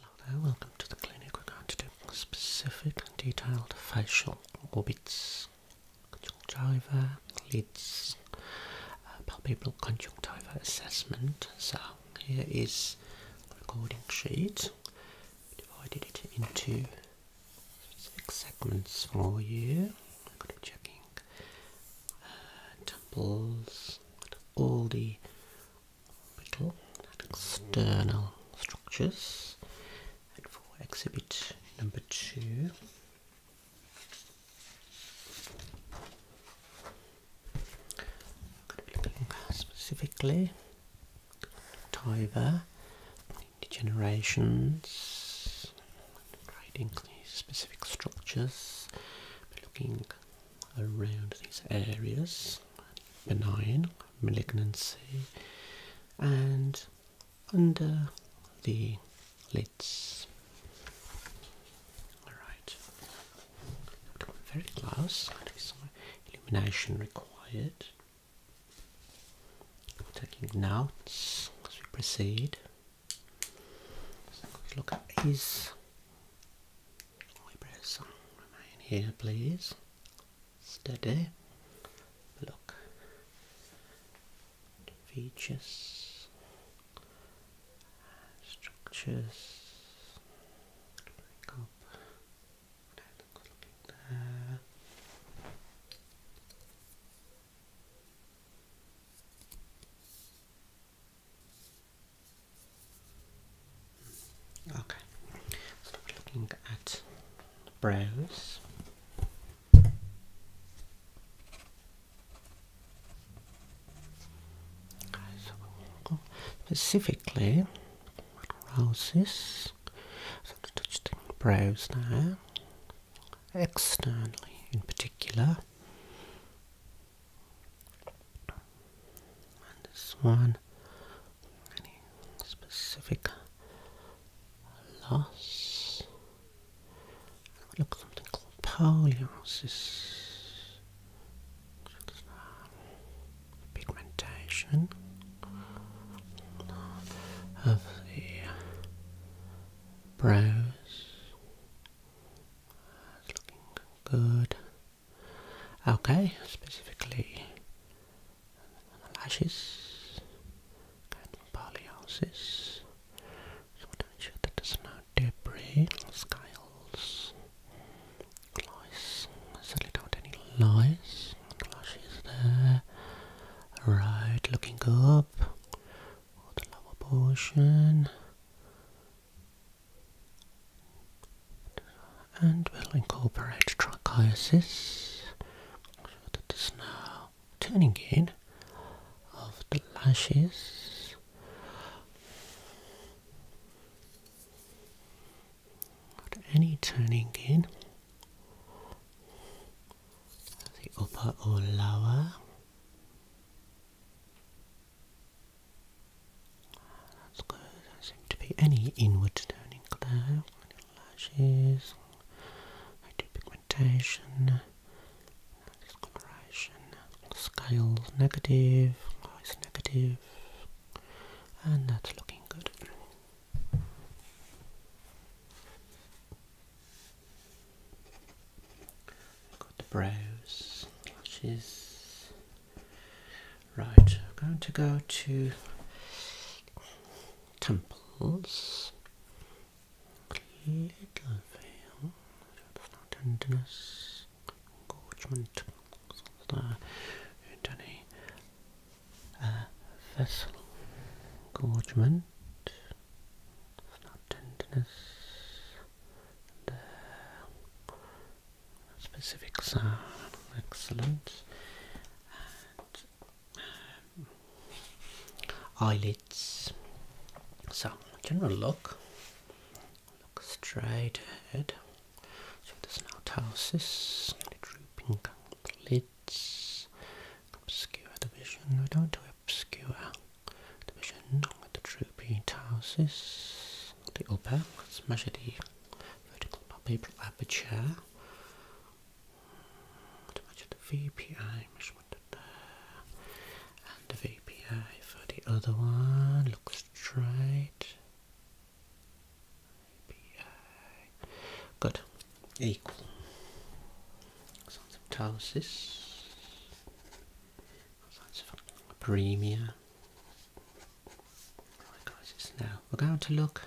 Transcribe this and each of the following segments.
Hello there, welcome to the clinic. We're going to do specific and detailed facial orbits, conjunctiva, lids, uh, palpebral conjunctiva assessment. So here is the recording sheet. divided it into six segments for you. I'm going to be checking uh, temples, all the orbital external structures. And for exhibit number two, I'm going to be looking specifically Tyva, degenerations, grading specific structures, around these areas benign malignancy and under the lids. Alright, come very close, illumination required. Taking notes as we proceed. So look at his Eyebrows song remain here, please. Steady. Look. Features. Structures. Okay, looking at brows. so we'll specifically roses. So touching brows now, externally in particular. And this one, any specific loss? look at something called poliosis. Pigmentation of the brows. looking good. Okay, specifically lashes, polyosis. So to ensure that there's no debris, scales, lice. Certainly don't any lice. Lashes there. Right, looking up. the lower portion and we'll incorporate trichiasis so that is turning in of the lashes at any turning in the upper or lower that's good. There seem to be any inward turning glare lashes, no pigmentation, no discoloration, scales negative, eyes negative, negative. and that's looking good. got the brows, lashes, Right, I'm going to go to temples. Little veil, tenderness, engorgement, there, into the uh, vessel, engorgement, tenderness, there, Specifics, sound. Excellent. And, um, eyelids. So, general look. Look straight ahead. So there's no ptosis, drooping lids. Obscure the vision. We don't do obscure the vision Not with the drooping ptosis. The open. Let's measure the vertical paper aperture. measure the VPI measurement there, and the VPI for the other one. Look straight. VPI. Good. Equal. Something tells this. Premier. Right guys, now. We're going to look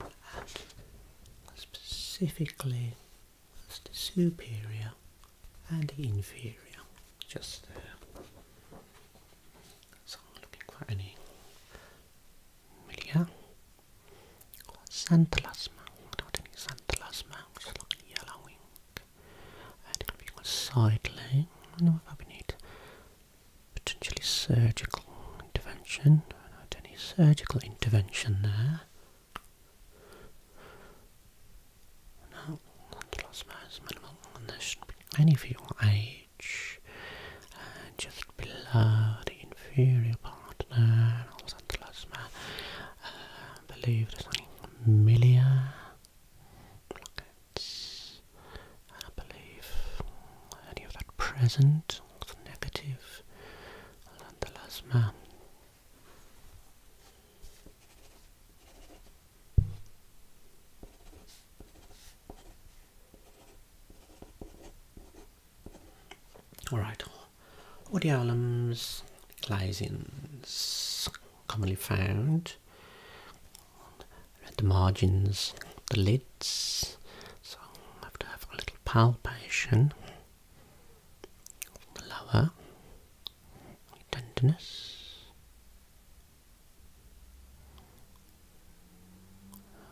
at specifically superior and inferior. Just there. looking for any media. Xanthelasma. Without any xanthelasma, which is like yellowing and it'll be side laying. I know if we need potentially surgical intervention. Not any surgical intervention there. No, that's last mass minimal, there should be any for your age. Uh, just below the inferior part there, also the I believe there's something Milia lockets. I believe any of that present or the negative Landalasma. Alright, Woody Allen's Glazings, commonly found at the margins, the lids. So I have to have a little palpation. lower tenderness.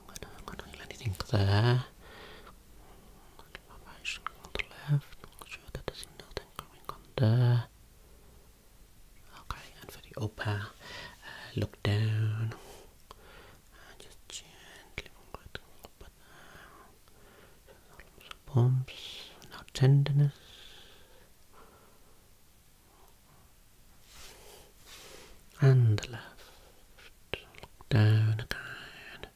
I'm not feel anything there on the left, make sure that there's nothing going on Okay, and for the upper, uh, look down and just gently up and down. Bumps, no tenderness. And the left, look down again,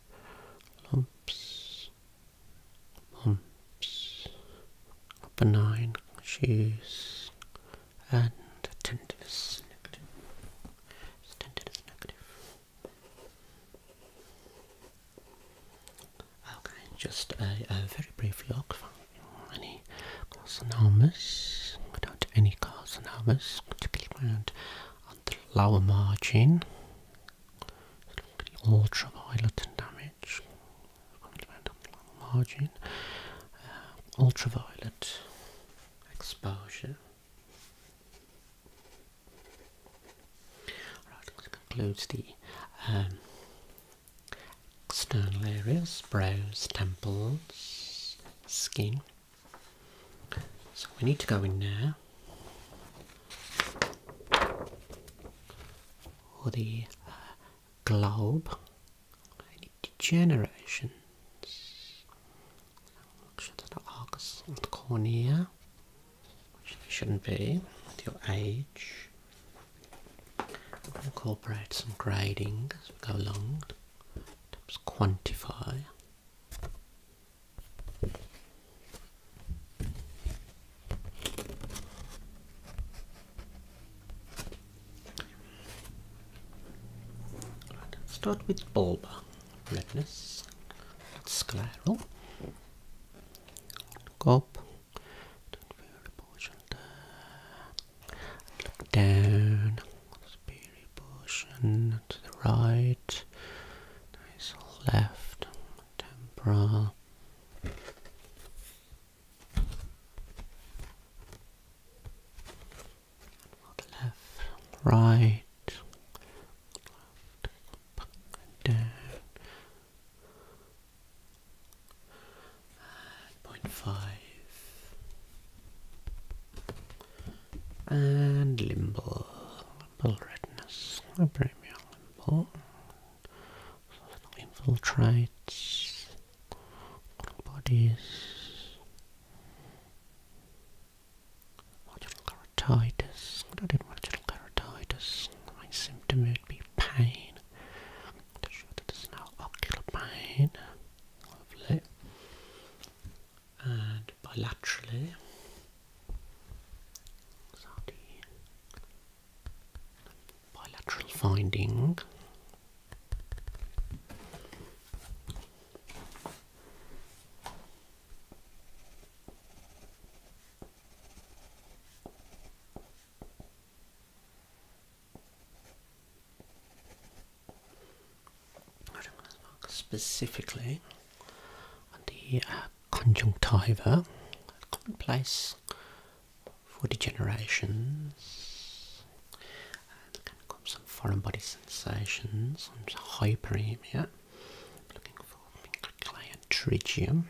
lumps, bumps, benign issues, and tenderness negative. Tenderness negative. Okay, just a, a very brief look for any carcinomas. Without any carcinomas, particularly around on the lower margin ultraviolet damage. Probably on the margin. Uh, ultraviolet exposure. Right, concludes the um, external areas, brows, temples, skin. So we need to go in now or the globe, any degenerations. Make the arcs of the cornea, which shouldn't be your age. incorporate some grading as we go along to quantify let's start with bulba redness. That's scleral. Look up. Don't feel the Look down. Superior portion to the right. Nice left temporal left, right, down, and point five, and limbal, Double redness, a premium import. Infiltrates, bodies, marginal keratitis. What I did keratitis. My symptom would be pain. not sure that there's no ocular pain. Lovely. And bilaterally, bilateral finding. Specifically the uh, conjunctiva, common place for degeneration. and can some foreign body sensations, some hyperemia. Looking for trigium.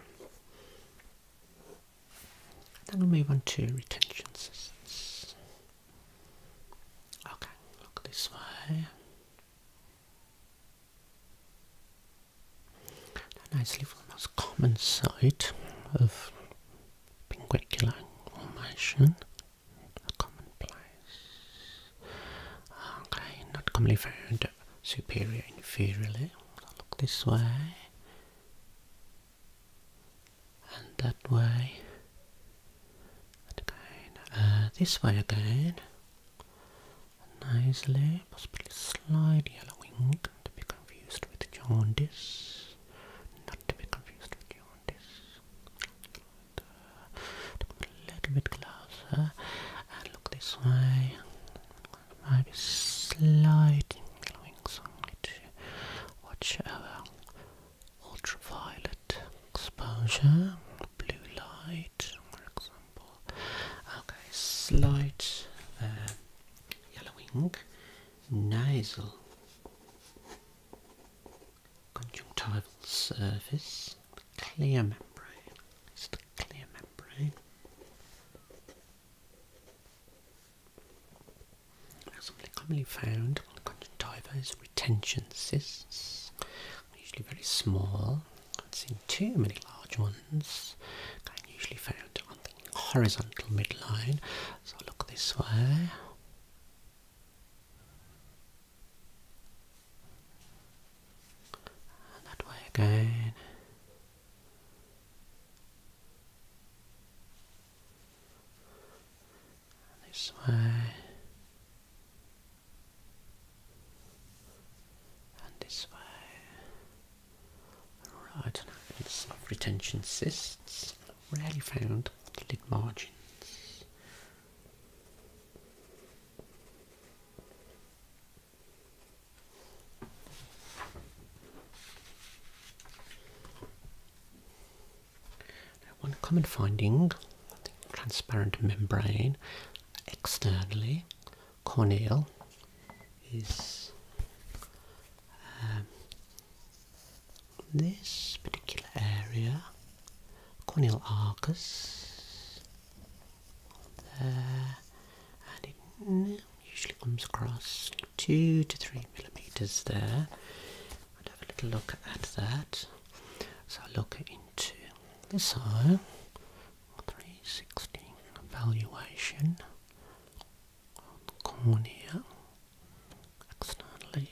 Then we move on to retention systems. Okay, look this way. And I sleep the most common site of Pinguecula formation, a common place. Okay, not commonly found superior inferiorly. look this way and that way and uh, this way again nicely, possibly slight yellowing, to be confused with jaundice, not to be confused with jaundice. a little bit closer and look this way. Maybe be slight glowing, so watch our ultraviolet exposure, blue light for example. Okay, slight uh, yellowing, nasal, conjunctival surface, clear membrane, just a clear membrane. Something commonly found on conjunctiva is retention cysts usually very small. I have seen too many large ones. They're usually found on the horizontal midline. So look this way. And that way again. this way this way. Alright, evidence of retention cysts, rarely found the lid margins. one common finding, the transparent membrane externally, corneal is um, this particular area, corneal arcus there, and it usually comes across two to three millimeters there. i will have a little look at that. So look to so Three hundred and sixteen evaluation on the cornea externally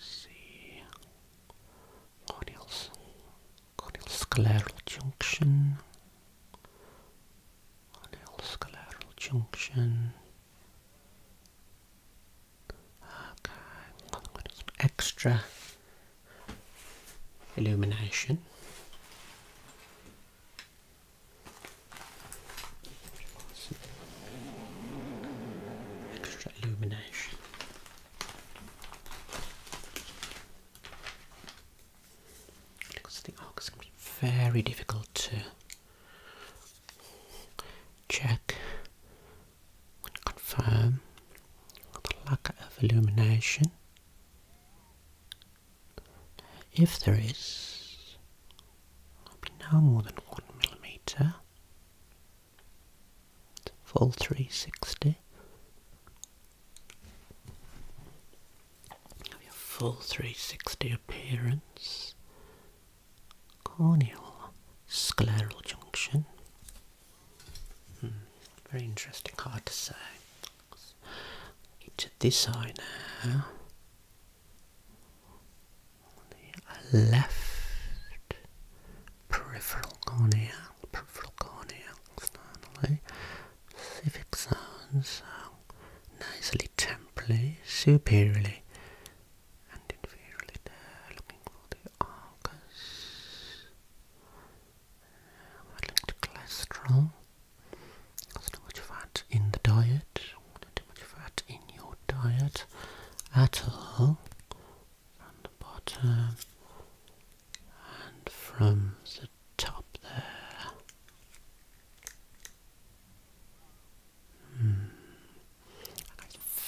see corneal, corneal junction corneal scleral junction Okay, extra illumination. Extra illumination. Because very difficult to check confirm the lack of illumination if there is will no more than one millimeter full 360 full 360 appearance corneal scleral junction Hmm. very interesting, hard to say. Into this eye now. The left peripheral cornea, peripheral cornea externally. Civic zones, so nicely temporally, superiorly and inferiorly there, looking for the Argus. Um, I cholesterol. There's not much fat in the diet, not too much fat in your diet at all. On the bottom and from the top there. Mm.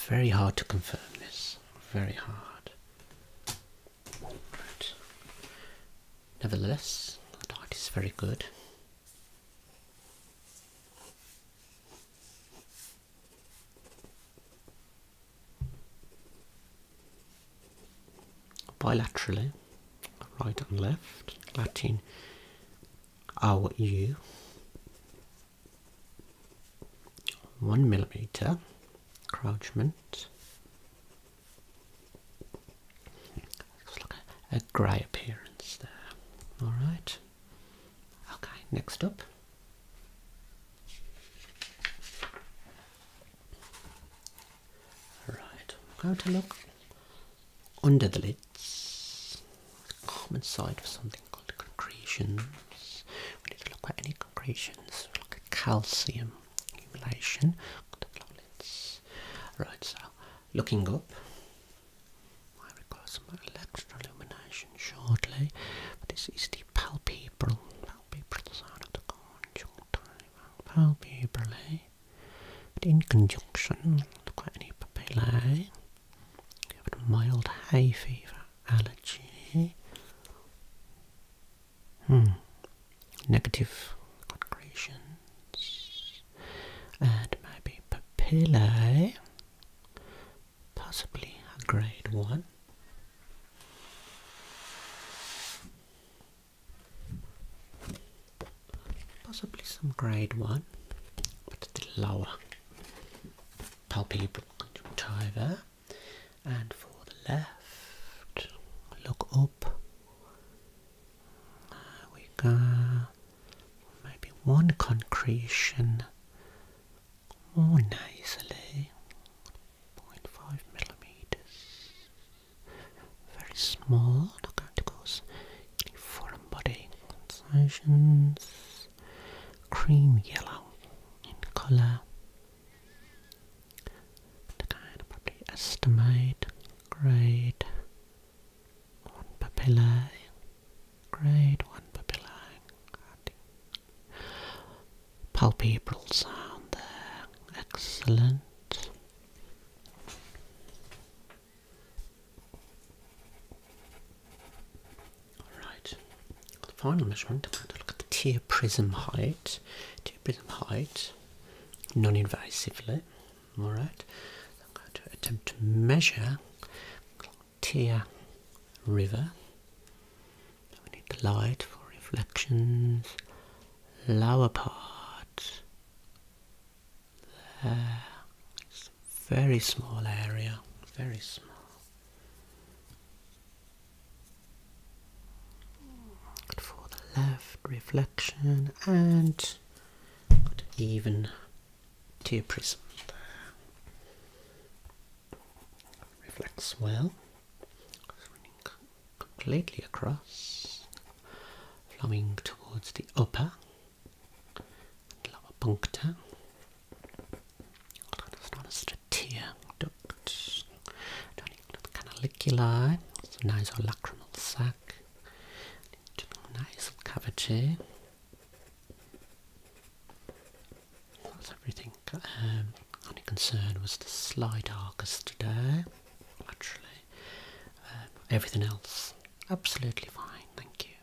Very hard to confirm this. Very hard. nevertheless, the dart is very good. Bilaterally, right and left, Latin our U one millimeter encroachment. Looks like a, grey appearance there. All right. Okay, next up. All right, I'm going to look under the lids. Common side for something concretions. We need to look at any concretions, look at calcium accumulation. Right, so looking up, I require some electron illumination shortly, but this is the palpebral, palpebral side of the conjunctiva, palpebrally, but in conjunction, look at any papillae. You have a mild hay fever allergy. Hmm. Negative concretions. And maybe papillae. Eh? Possibly a grade one. Possibly some grade one, but a still lower palpebral conjunctiva, and for the left, look up. we go. Maybe one concretion more nicely, 0.5 millimeters. Very small, not going to cause any foreign body sensations cream yellow in colour. I can probably estimate grade 1 papilla. grade 1 papillae, palpebral sound there, excellent. Alright, the final measurement, I'm going to look at the tear prism height. Tear prism height, non-invasively. Alright, I'm going to attempt to measure tear river. We need the light for reflections. Lower part. There. It's a very small area. Very small for the left, reflection and got even tear prism there. Reflects well. completely across, flowing towards the upper lower puncta. It's not a stratia duct. Canalicular, it's a nasolacrimal sac. Nasal cavity. That's everything. Um, only concern was the slide arcus today. Actually, um, everything else absolutely fine. Thank you.